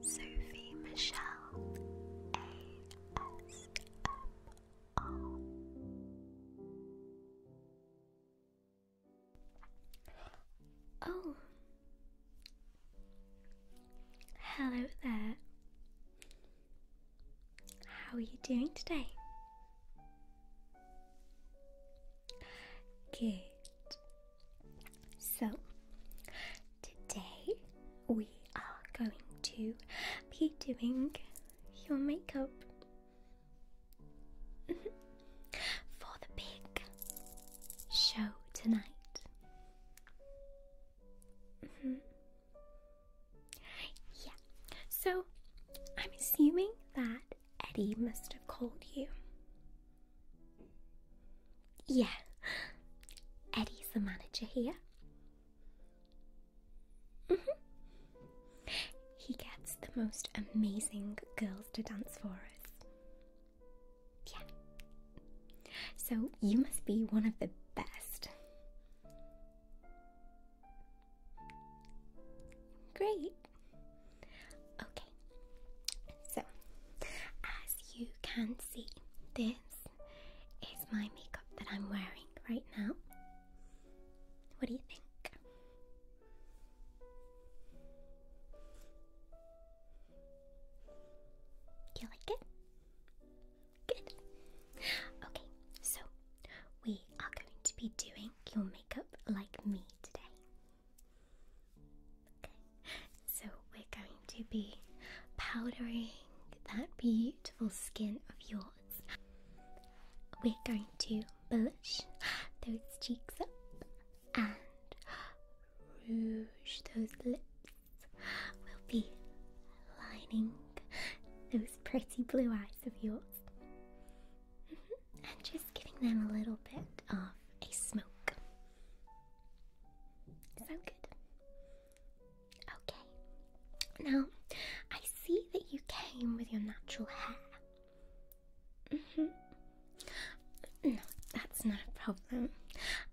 Sophie Michelle ASMR. Oh, hello there. How are you doing today? Good. So, today we are going to be doing your makeup for the big show tonight. Mm-hmm. yeah, so I'm assuming that Eddie must have called you. Yeah, Eddie's the manager here. -hmm. He gets the most amazing girls to dance for us. Yeah. So you must be one of the best. Great. Okay, so as you can see, this is my makeup that I'm wearing right now. What do you think? Do you like it? Good. Okay, so we are going to be doing your makeup like me today. So we're going to be powdering that beautiful skin of yours. We're going to blush those cheeks up and rouge those lips. We'll be lining those pretty blue eyes of yours. Mm-hmm. and giving them a little bit of a smoke. Sound good? Okay. Now, I see that you came with your natural hair. Mm-hmm. No, that's not a problem.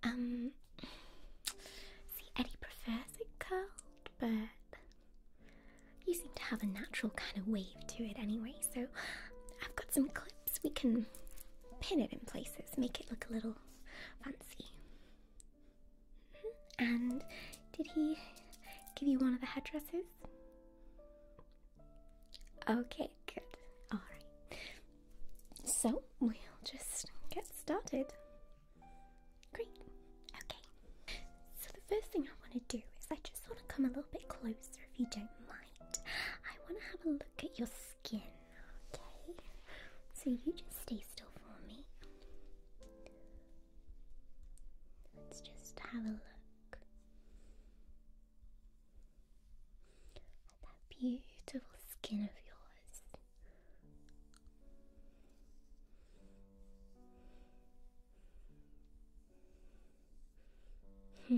Um, see, Eddie prefers it curled, but you seem to have a natural kind of wave to it anyway, so I've got some clips we can pin it in places, make it look a little fancy. Mm-hmm. And did he give you one of the headdresses? Okay, good. Alright. So we'll just get started. Great. Okay. So the first thing I want to do is I just want to come a little bit closer if you don't mind. I want to have a look at your skin, okay? So you just stay still for me. Let's just have a look at that beautiful skin of yours. Hmm.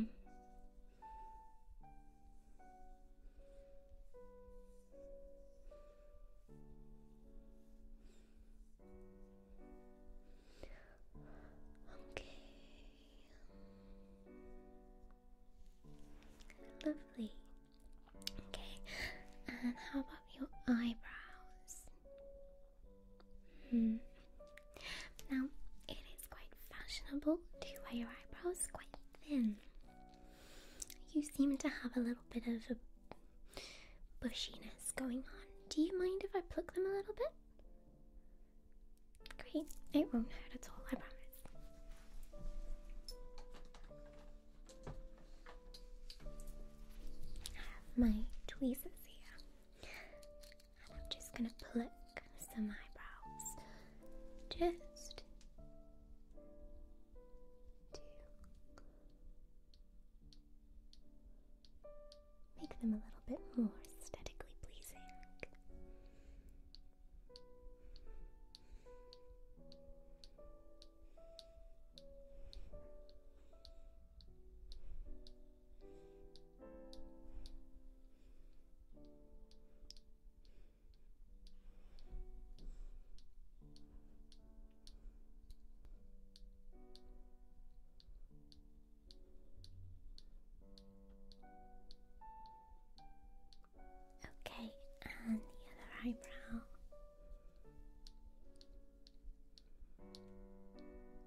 Okay. Lovely. Okay. And how about your eyebrows? Hmm. Now, it is quite fashionable to wear your eyebrows quite thin. You seem to have a little bit of a bushiness going on. Do you mind if I pluck them a little bit? Great, it won't hurt at all, I promise. I have my tweezers here. I'm just gonna pluck some eyebrows just to make them a little bit more aesthetically pleasing. Okay, and the other eyebrow.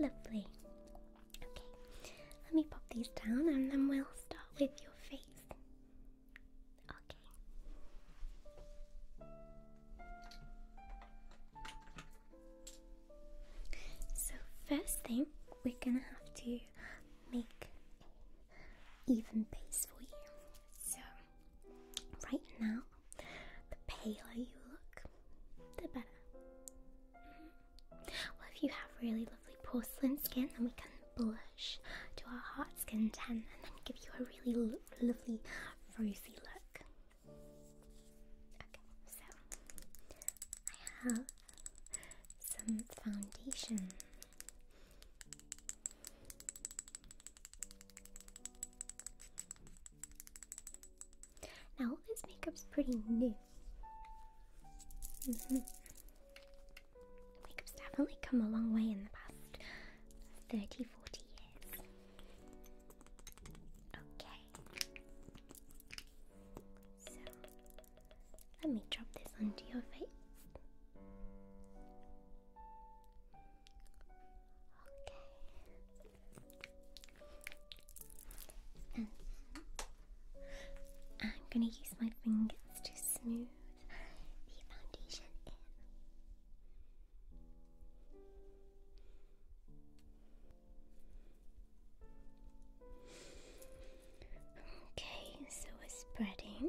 Lovely. Okay, let me pop these down and then we'll start with your face. Okay. So, first thing, we're gonna have to make even base for you. So, Right now, the paler you look, the better. Mm-hmm. Well, if you have really lovely porcelain skin, then we can blush to our heart's content and then give you a really lovely rosy look. Okay, so I have some foundation now, all this makeup's pretty new. Mm-hmm. Makeup's definitely come a long way in the past 30 years. Okay. So, let me drop this onto your face. Okay. And I'm gonna use my fingers to smooth the foundation in. Okay, so we're spreading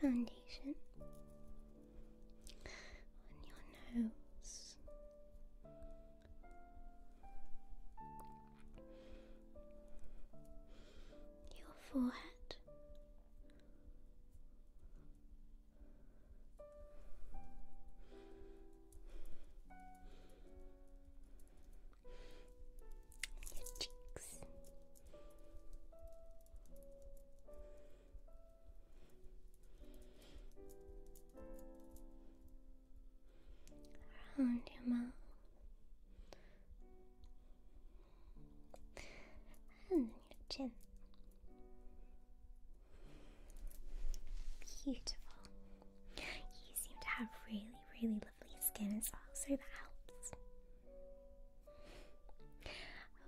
foundation on your nose. Your forehead, your cheeks. Around your mouth and your chin. Beautiful. You seem to have really, really lovely skin as well, so that helps.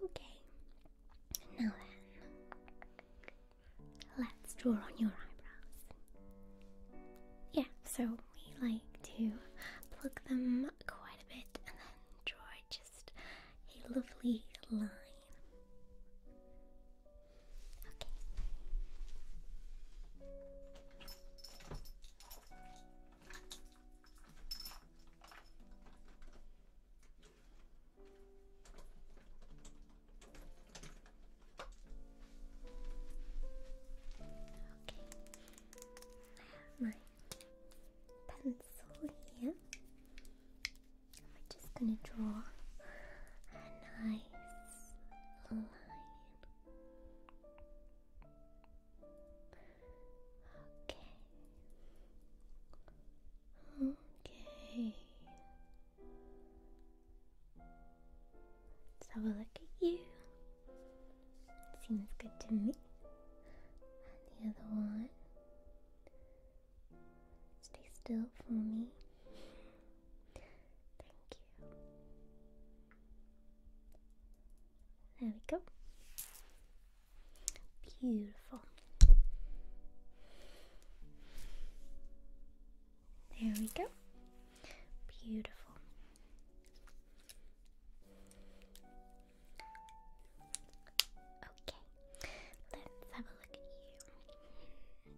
Okay, now then, let's draw on your eyebrows. Yeah, so we like to pluck them quite a bit and then draw just a lovely line. Okay. I have my pencil here. I'm just gonna draw a nice line. Okay. Okay. Let's have a look at you. Seems good to me. And the other one. Stay still for me. Thank you. There we go. Beautiful. There we go. Beautiful. Okay, let's have a look at you.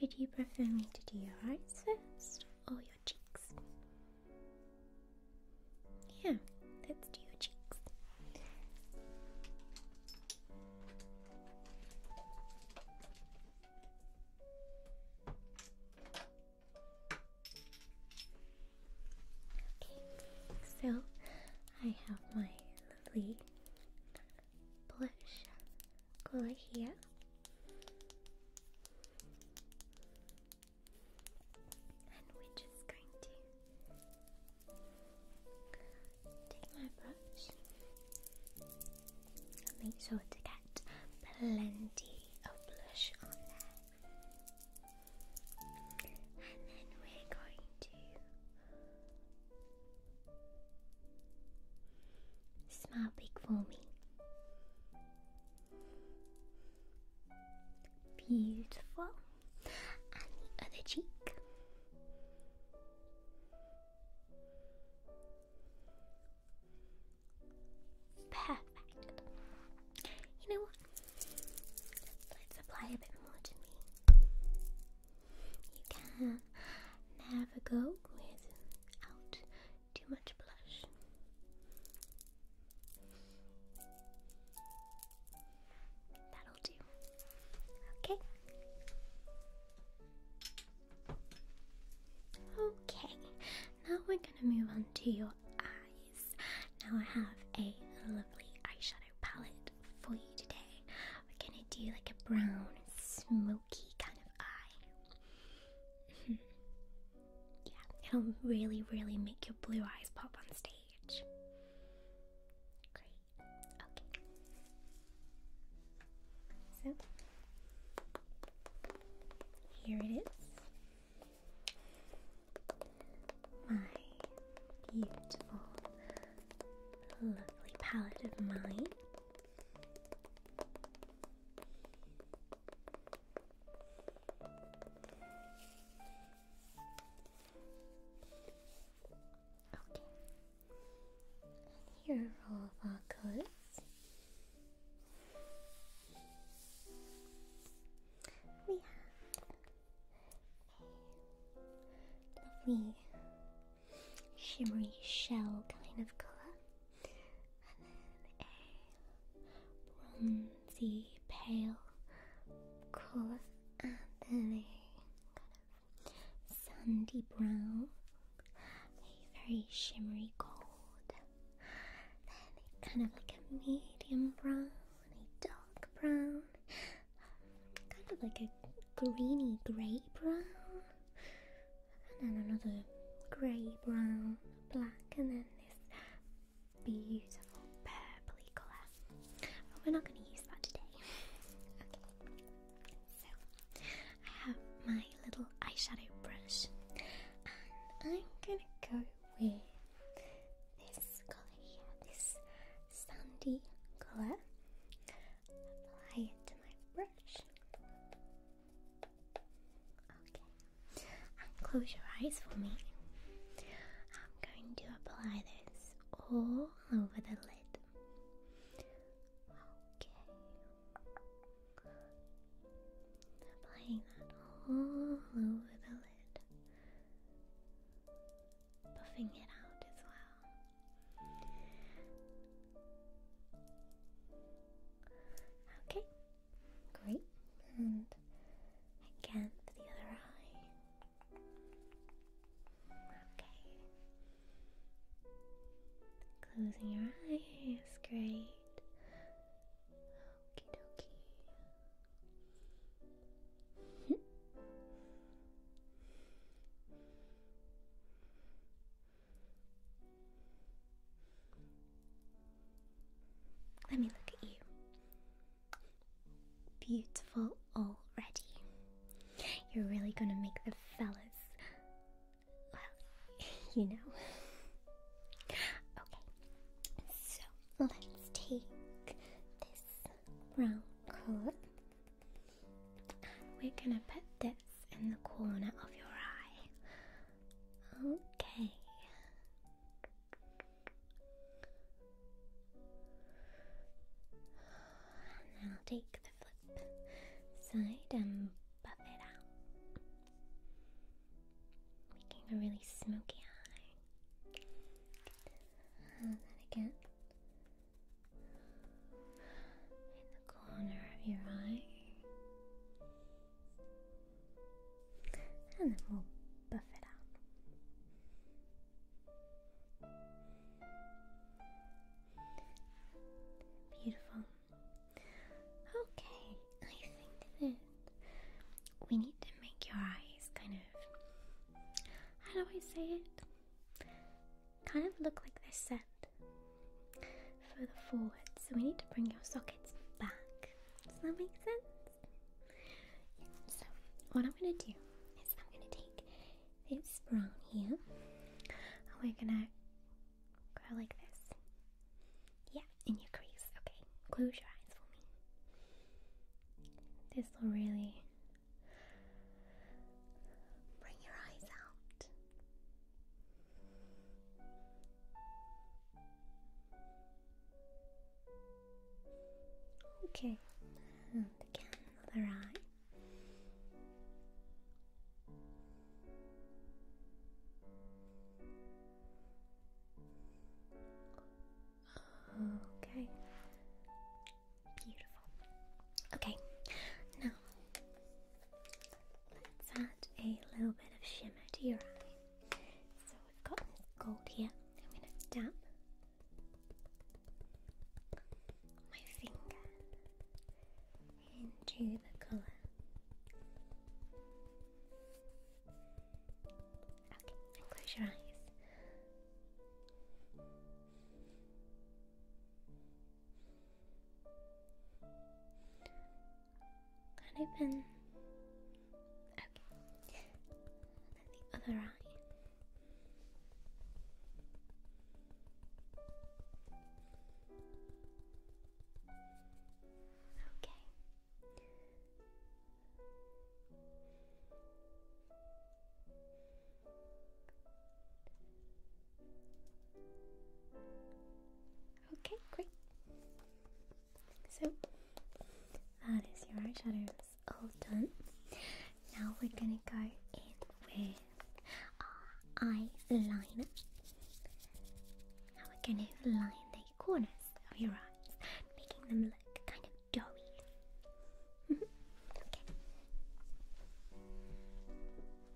Would you prefer me to do your eyes first or cheeks. Yeah, let's do your cheeks. Okay, so I have my lovely blush color here. And we're just going to take my brush and make sure to get plenty of blush on there. And then we're going to smile big for me. Beautiful. And the other cheek. Perfect. You know what? Let's apply a bit more to me. You can never go without too much blush. That'll do. Okay. Okay, now we're gonna move on to your eyes. Now I have a lovely eyeshadow palette for you today. We're gonna do like a brown, smoky kind of eye. Yeah, it'll really, really make your blue eyes pop on stage. Great. Okay. So, here it is. My beautiful, lovely palette of mine. Okay. here are all of our coats. We have a lovely shimmery shell kind of colour and then a bronzy pale color, and then a kind of sandy brown, a very shimmery gold, then kind of like a medium brown, a dark brown, kind of like a greeny grey brown and then another grey, brown, black, and then this beautiful purpley colour. we're not going to use that today. okay, so I have my little eyeshadow brush, and I'm going to go with this colour here, this sandy colour. Apply it to my brush. Okay, and close your eyes for me. I'm going to apply this all over the lid. Okay, applying that all over the lid, buffing it out as well. Okay, great. And again the other eye. Okay. Closing your eyes, great. Okie dokie. Hmm. Let me look at you. Beautiful already. You're really gonna make the fellas. Well, you know. Okay, so let's take this brown colour we're gonna put this in the corner of your eye. Okay. And I'll take the flip side and buff it out, making a really smoky eye. And then again, in the corner of your eye, and then we'll buff it out. Beautiful. Okay, I think that we need to make your eyes kind of. How do I say it? kind of look like they're set further forward. So we need to bring your sockets back. Does that make sense? so what I'm going to do is I'm going to take this brown here and we're going to go like this. Yeah, in your crease. Okay, close your eyes for me. This will really bring your eyes out. Okay, again, another eye. Okay, beautiful. Okay, now let's add a little bit of shimmer to your eye. So we've got gold here. I'm going to dab my finger into the colour. Okay, and close your eyes. Kind of been okay. And the other eye. Okay. Okay, great. So that is your eyeshadows all done. Now we're gonna go in with our eyeliner. Now we're gonna line the corners of your eyes, making them look kind of doughy. okay.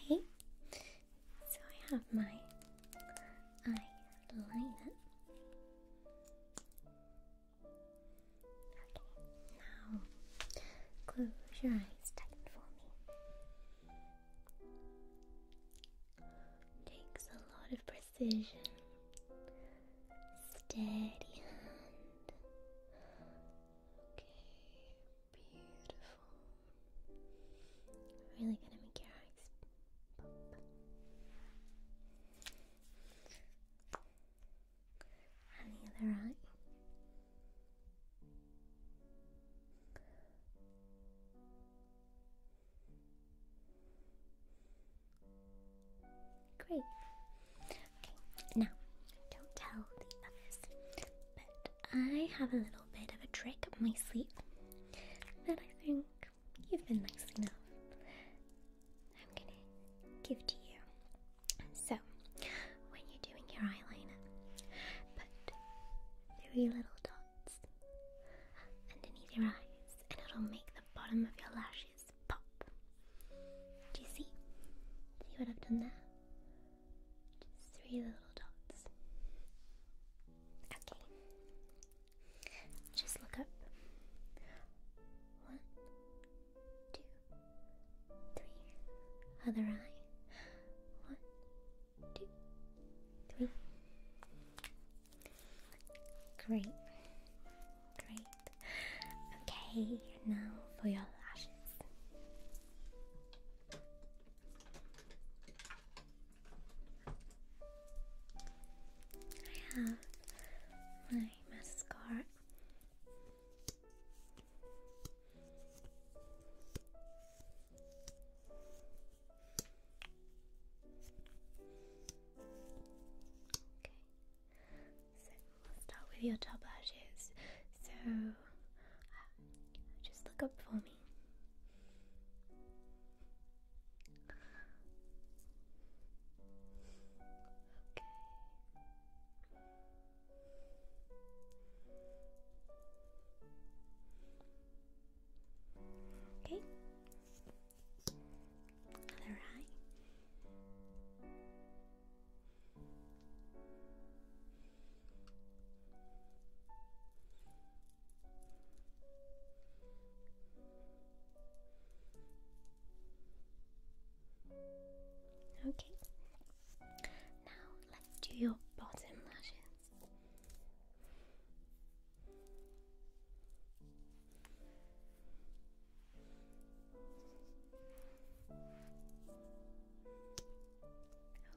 Okay, so I have my eyeliner. Okay, now, close your eyes tight for me. Takes a lot of precision. Steady hand. Okay, beautiful. Really gonna make your eyes pop. And the other eye. Great. Okay, now don't tell the others, but I have a little bit of a trick up my sleeve that I think you've been nice enough. I'm gonna give to you. So, when you're doing your eyeliner, put three little dots underneath your eyes, and it'll make the bottom of your lashes pop. Do you see? See what I've done there? Just three little dots. Okay. Just look up. One, two, three. Other eye. One, two, three. Great. Great. Okay, now for your lashes. I have my mascara so start with your top lashes. So uh, just look up for me. Okay. Okay. Other eye. Okay. Now let's do your bottom lashes.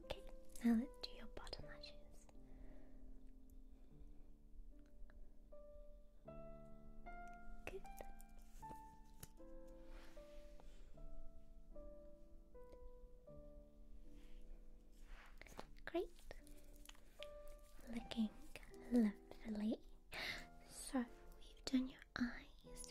Okay, now let's do your bottom lashes. Good. Great. Looking lovely. So we've done your eyes,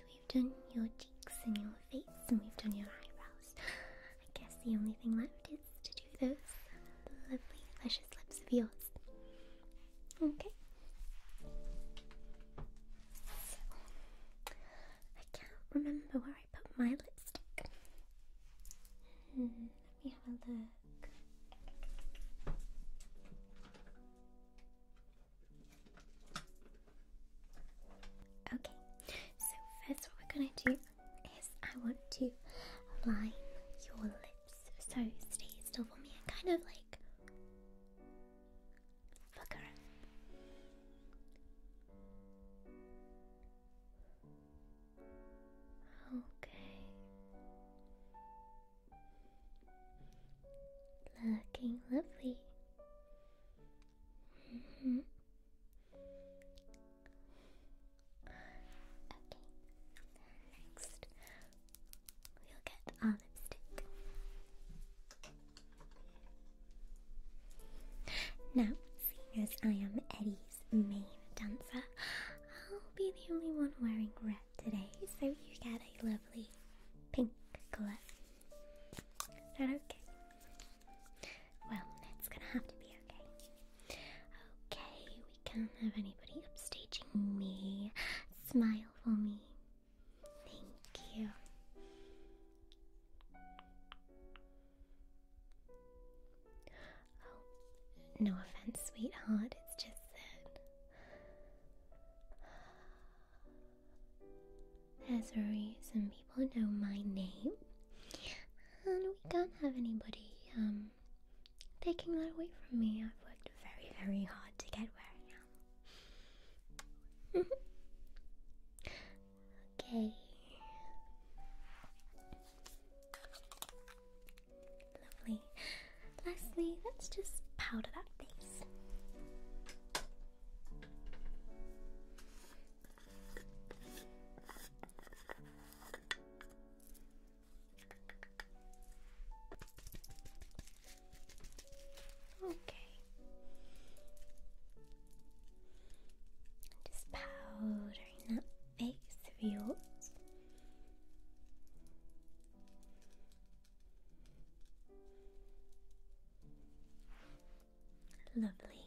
we've done your cheeks and your face, and we've done your eyebrows. I guess the only thing left is to do those lovely, luscious lips of yours. Okay. So I can't remember where I put my lipstick. Hmm, let me have a look. Okay, so first what we're gonna do is I want to line your lips. So stay still for me and kind of like Fuck around. Okay. Looking lovely. -hmm. Okay. Next, We'll get our lipstick. Now, seeing as I am Eddie's main dancer, I'll be the only one wearing red today, so you get a lovely pink colour. that okay? Well, it's gonna have to be okay. Okay, we can't have anybody upstaging me. Smile for me. Thank you. Oh, no offense, sweetheart. It's just that. There's a some people know my name. And we can't have anybody um, taking that away from me. I've worked very, very hard to get where I am okay. Lovely. Lastly, let's just powder that face. Okay. Just powdering that face of yours. Lovely.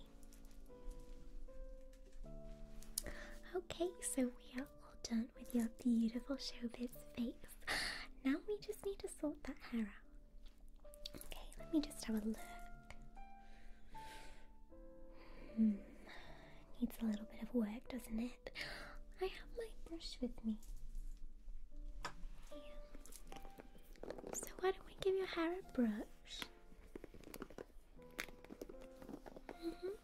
Okay, so we are. All done with your beautiful showbiz face. Now we just need to sort that hair out. Okay, let me just have a look. Hmm, needs a little bit of work, doesn't it? I have my brush with me. So why don't we give your hair a brush? Mm-hmm.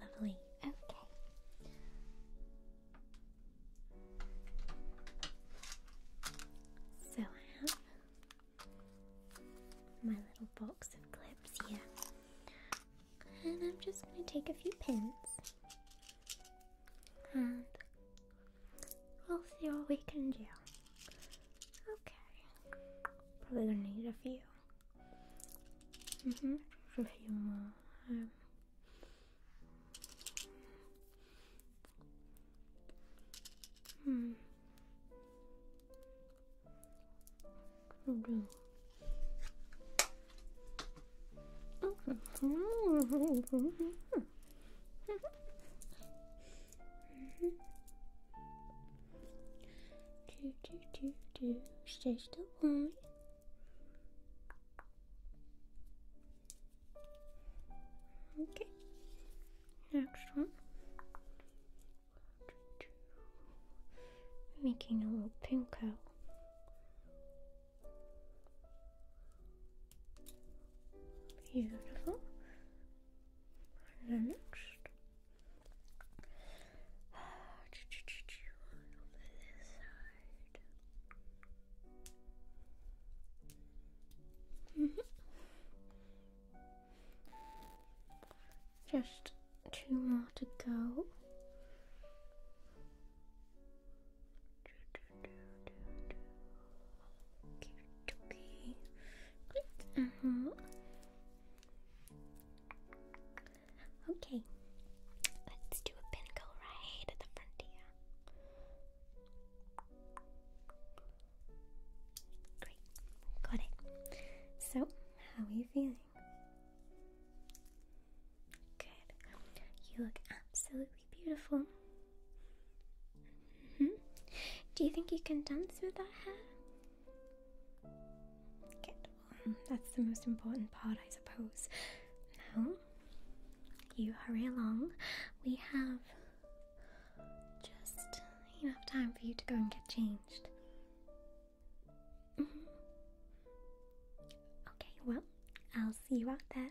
Lovely. Okay. So I have my little box of clips here. And I'm just going to take a few pins and we'll see what we can do. Okay. Probably gonna need a few. hmm A few more. Um, hmm. Mm -hmm. Do do do do. Stay still, boy. Okay. Next one. Making a little pink out. Beautiful. Ah, Just two more to go. Okay, Uh -huh. Okay. Let's do a pin right the frontier. Great. Got it. So, how are you feeling? Good. You look absolutely beautiful. Mm-hmm. Do you think you can dance with that hair? that's the most important part, I suppose. Now, you hurry along. We have just enough time for you to go and get changed. Mm-hmm. Okay, well, I'll see you out there.